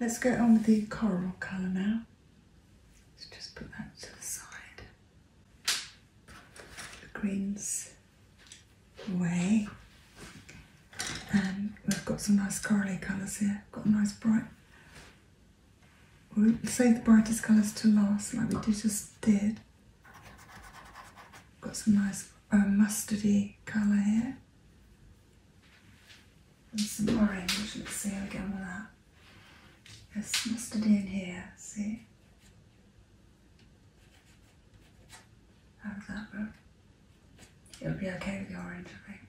Let's go on with the coral colour now. Let's just put that to the side. The greens away. And we've got some nice corally colours here. Got nice bright. We'll save the brightest colours to last like we just did. Got some nice uh, mustardy colour here. And some orange, let's see how we get on with that. There's mustard in here, see? How's that look? It'll be okay with the orange, I think.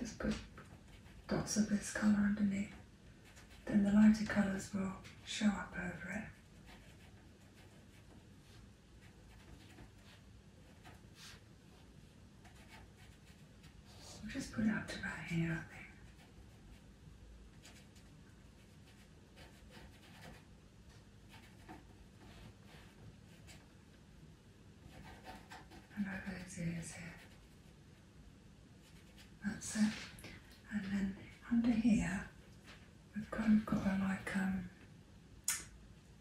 Just put dots of this colour underneath. Then the lighter colours will show up over it. just put it up to about here, I think and over his ears here. That's it. And then under here, we've got, we got a like, um,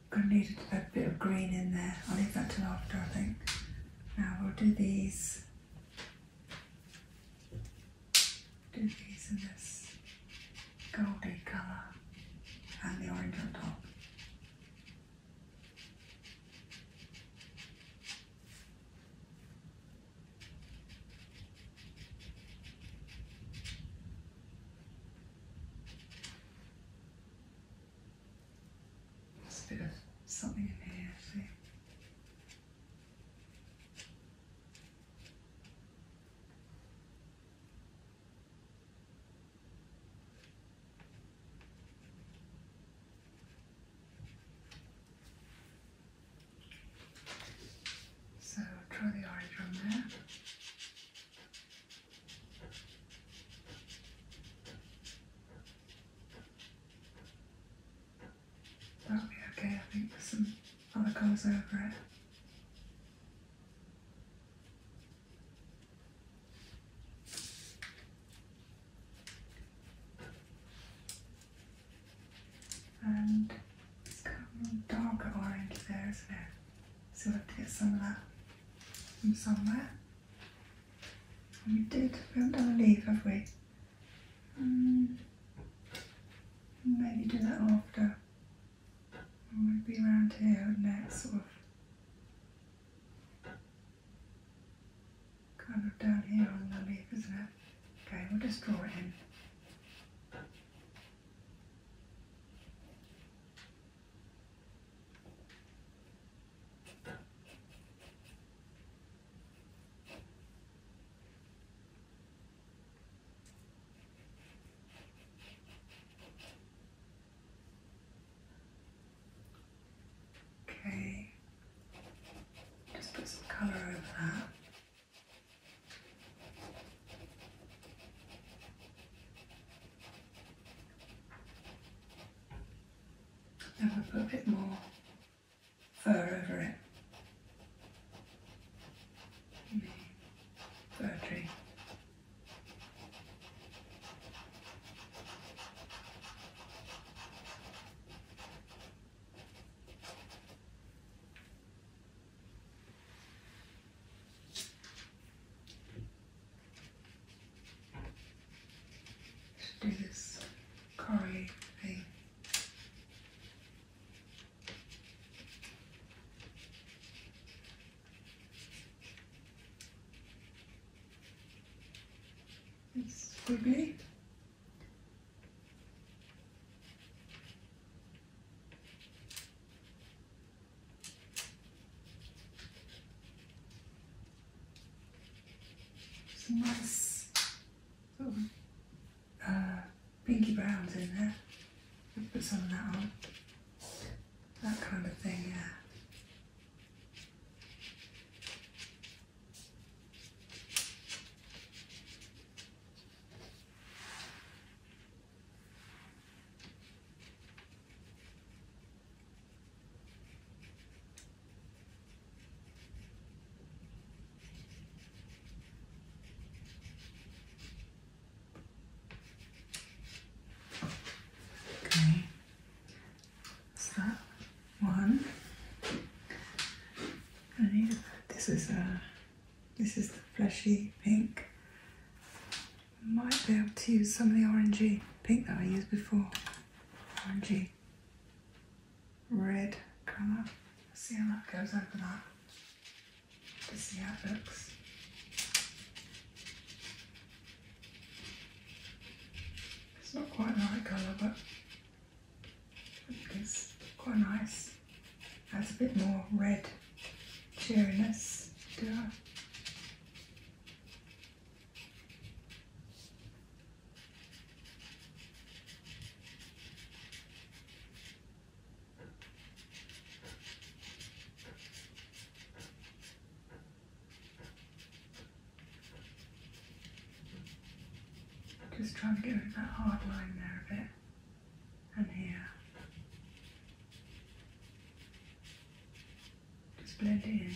going to a bit of green in there. I'll leave that till after, I think. Now we'll do these. Do these in this goldy colour and the orange on top. There's a bit of something in here, so draw the orange on there. That'll be okay, I think there's some other colours over it. And it's kind of darker orange there, isn't it? So we have to get some of that from somewhere. we did, we haven't done a leaf, have we? Hmm. maybe do that after. It would be around here, wouldn't Sort of Kind of down here on the leaf, isn't it? Okay, we'll just draw it in. Okay, just put some colour over that. Now we put a bit more fur over it. Fir tree do this curry thing. It's pretty. great. nice uh, pinky browns in there put some of that on. That kind of thing, yeah. Okay, so one. I need this is a this is the fleshy pink. Might be able to use some of the orangey pink that I used before. Orangey red color see how that goes over that to see how it looks. It's not quite the right colour, but I think it's quite nice. Adds a bit more red cheeriness to it. Just try and go with that hard line there a bit and here. Just blend it in.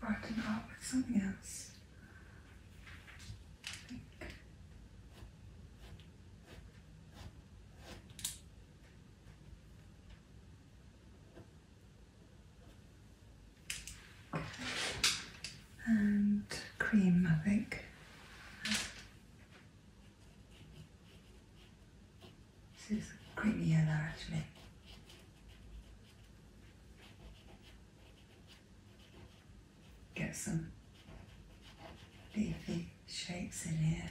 Broken up with something else and cream, I think. This is a creamy yellow actually. Get some leafy shapes in here.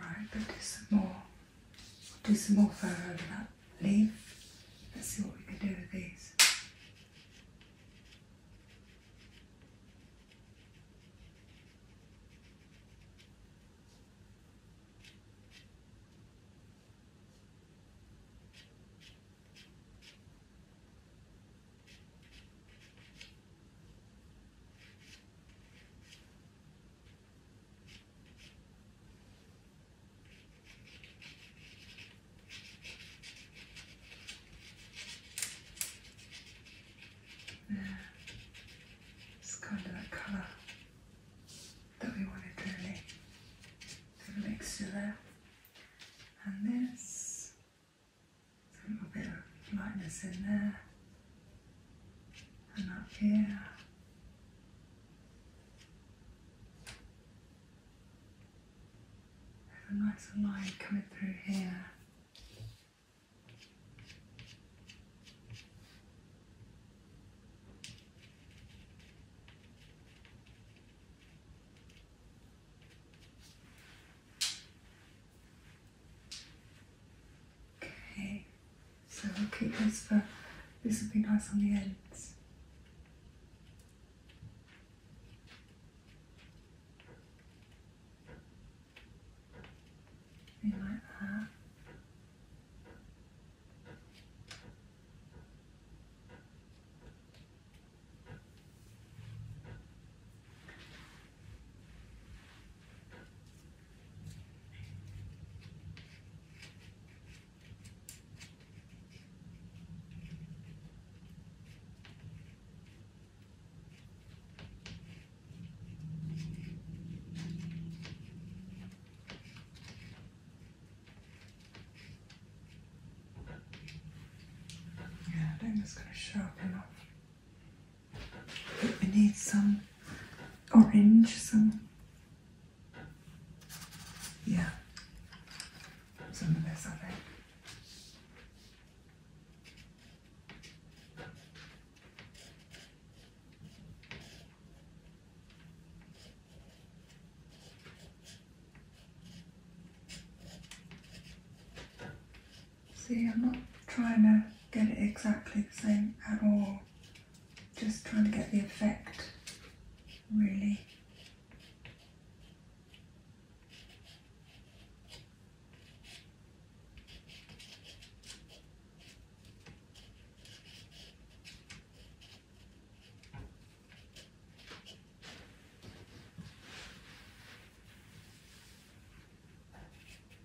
Right, do some more. Do some more fur over that leaf. Let's see what we can do with these. Yeah, it's kind of that colour that we wanted to mix you there. And this a little bit of lightness in there and up here. There's a nice line coming through here. Okay, so we'll keep this for, this will be nice on the ends. Be like that. Yeah, I think it's going to sharpen up we need some orange, some yeah, some of this other. See, I'm not trying to get it exactly the same at all. Just trying to get the effect, really.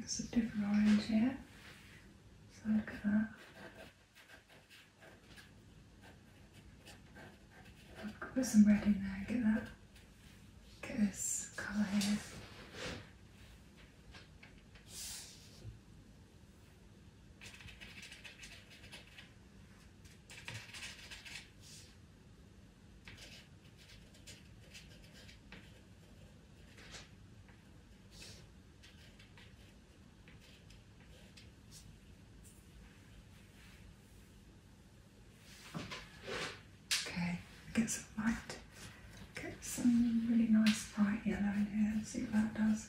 That's a different orange here. So look at that. I could put some red in there, get that Get this colour here. Okay, get some light. Get some really nice bright yellow in here see what that does.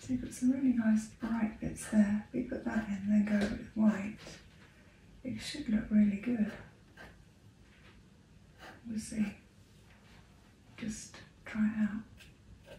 So you've got some really nice bright bits there. We put that in, then go with white. It should look really good. We'll see. Just try it out.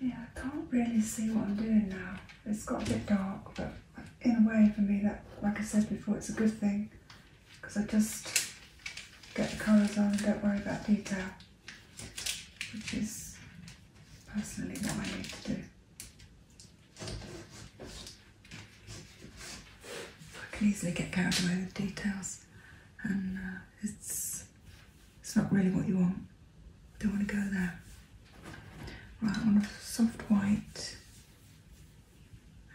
Yeah, I can't really see what I'm doing now. It's got a bit dark, but in a way for me that, like I said before, it's a good thing because I just get the colours on and don't worry about detail, which is personally what I need to do. I can easily get carried away with details and uh, it's it's not really what you want. Don't want to go there. Right, I want a soft white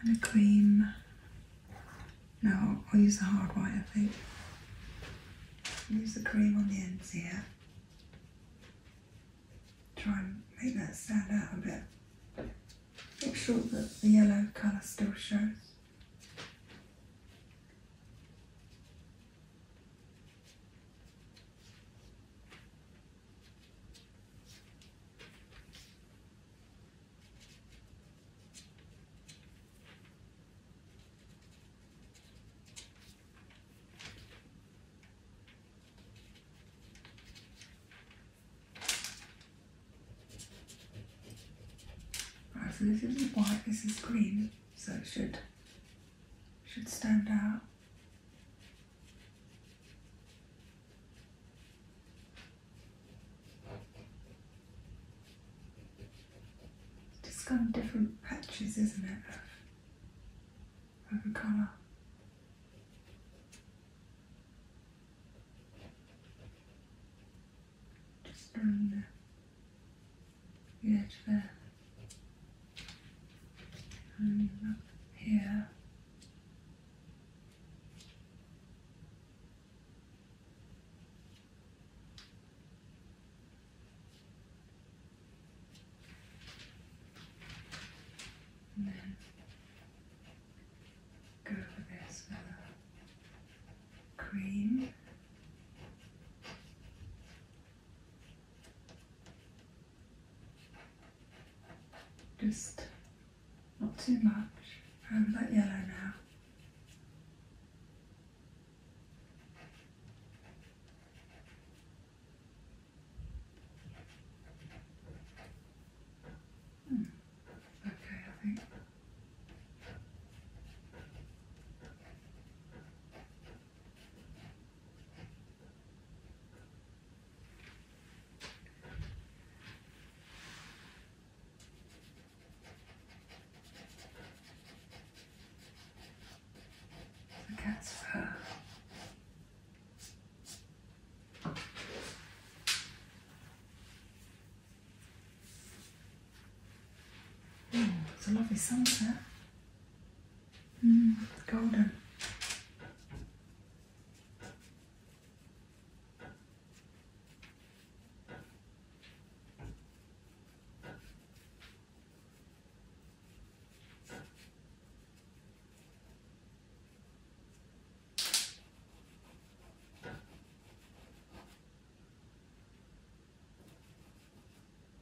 and a cream. No, I'll use the hard white, I think. Use the cream on the ends here. Try and make that stand out a bit. Make sure that the yellow colour still shows so this is white, this is green, so it should should stand out. It's just got different patches, isn't it, of, of the colour. Just around there get there and up here. And then go this uh, cream just not too much over that yellow now. Hmm. Okay, I think. I guess uh, Hmm, it's a lovely sunset. Mm, golden.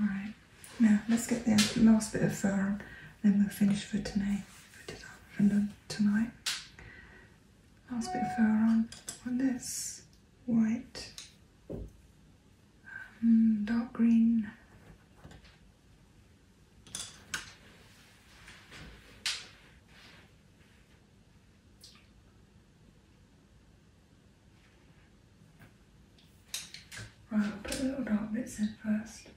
Alright, now let's get the last bit of fur on, then we'll finish for today, for tonight last bit of fur on on this white, um, dark green. Right, put the little dark bits in first.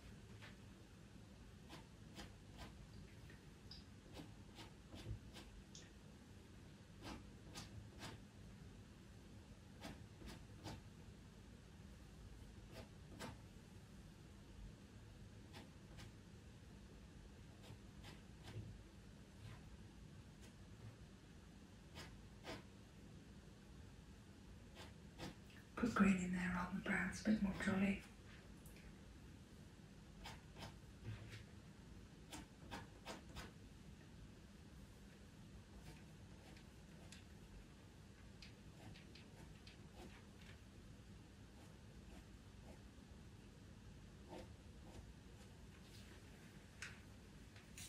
Put green in there on the brown, it's a bit more jolly.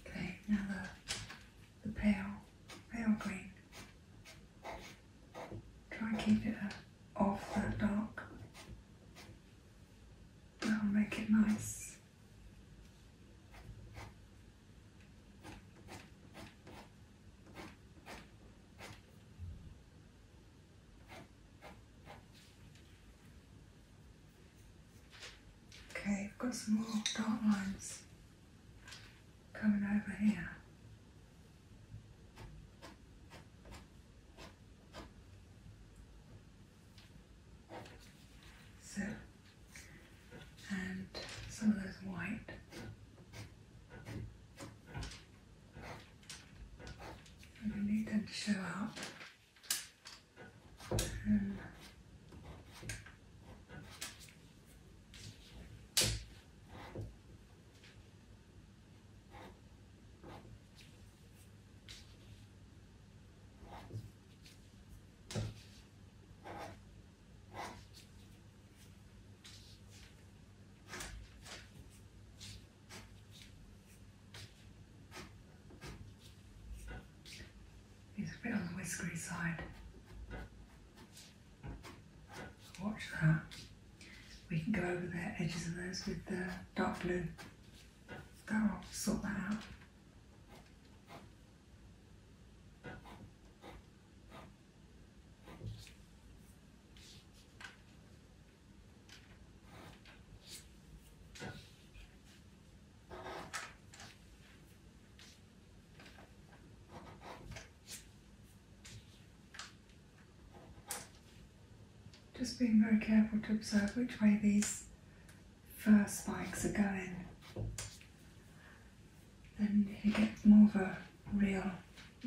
Okay, now the, the pale, pale green. Try and keep it uh, off that dark. That'll make it nice. Okay, I've got some more dark lines coming over here. So, and some of those white. And we need them to show up. He's a bit on the whiskery side. Watch that. We can go over the edges of those with the dark blue. That'll sort that out. Just being very careful to observe which way these fur spikes are going. Then you get more of a real,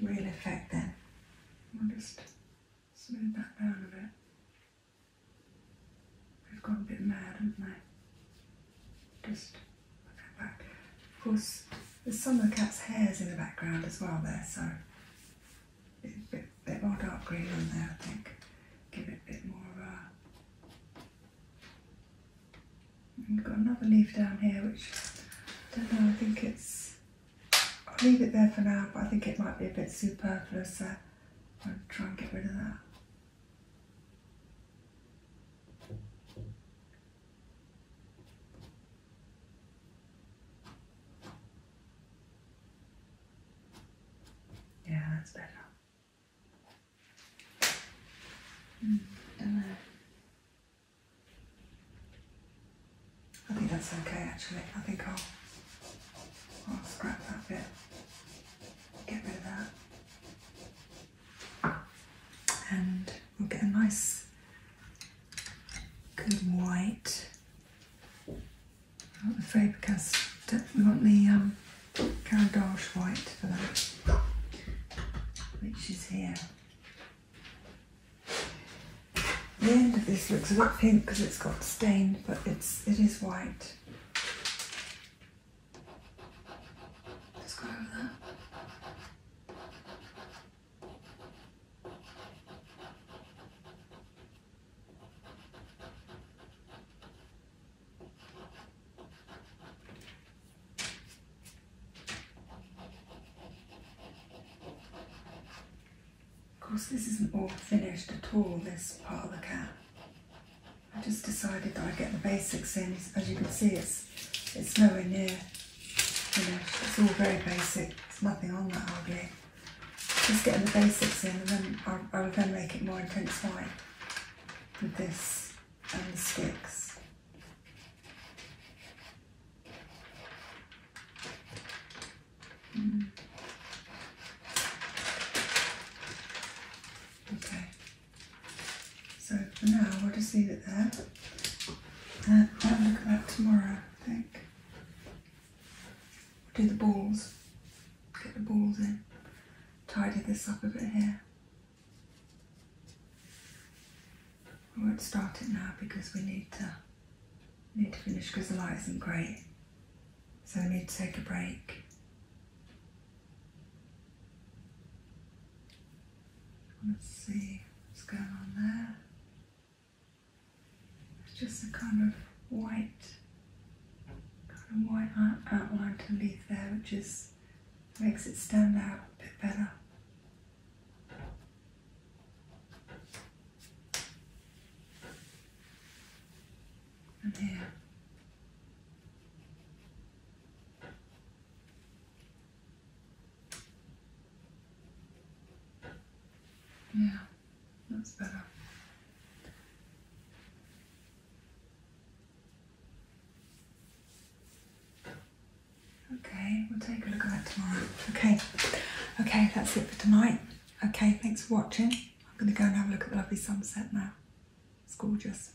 real effect then. I'll just smooth that down a bit. i have gone a bit mad, haven't they? Just of course, there's some of the cat's hairs in the background as well there, so a bit, bit more dark green on there, I think. Give it a bit more of a... we've got another leaf down here, which, I don't know, I think it's... I'll leave it there for now, but I think it might be a bit superfluous, so I'll try and get rid of that. Yeah, that's better. Mm, and then I think that's okay actually. I think I'll, I'll scrap that bit, get rid of that, and we'll get a nice good white. want the Faber-Castell, we want the um, white for that, which is here. The end of this looks a bit pink because it's got stained, but it's it is white. Just go over that. Of course, this isn't all finished at all, this part of the cat. I just decided that I'd get the basics in. As you can see, it's it's, nowhere near enough. It's all very basic. There's nothing on that ugly. Just getting the basics in and then i am going to make it more intense white with this and the sticks. Mm. Okay. So for now, we'll just leave it there. And i will look at that tomorrow, I think. We'll do the balls. Get the balls in. Tidy this up a bit here. I won't start it now because we need to need to finish because the light isn't great. So we need to take a break. Let's see what's going on there. It's just a kind of white, kind of white outline underneath there, which just makes it stand out a bit better. And here. Yeah, that's better. Okay, we'll take a look at that tomorrow. Okay, okay, that's it for tonight. Okay, thanks for watching. I'm going to go and have a look at the lovely sunset now. It's gorgeous.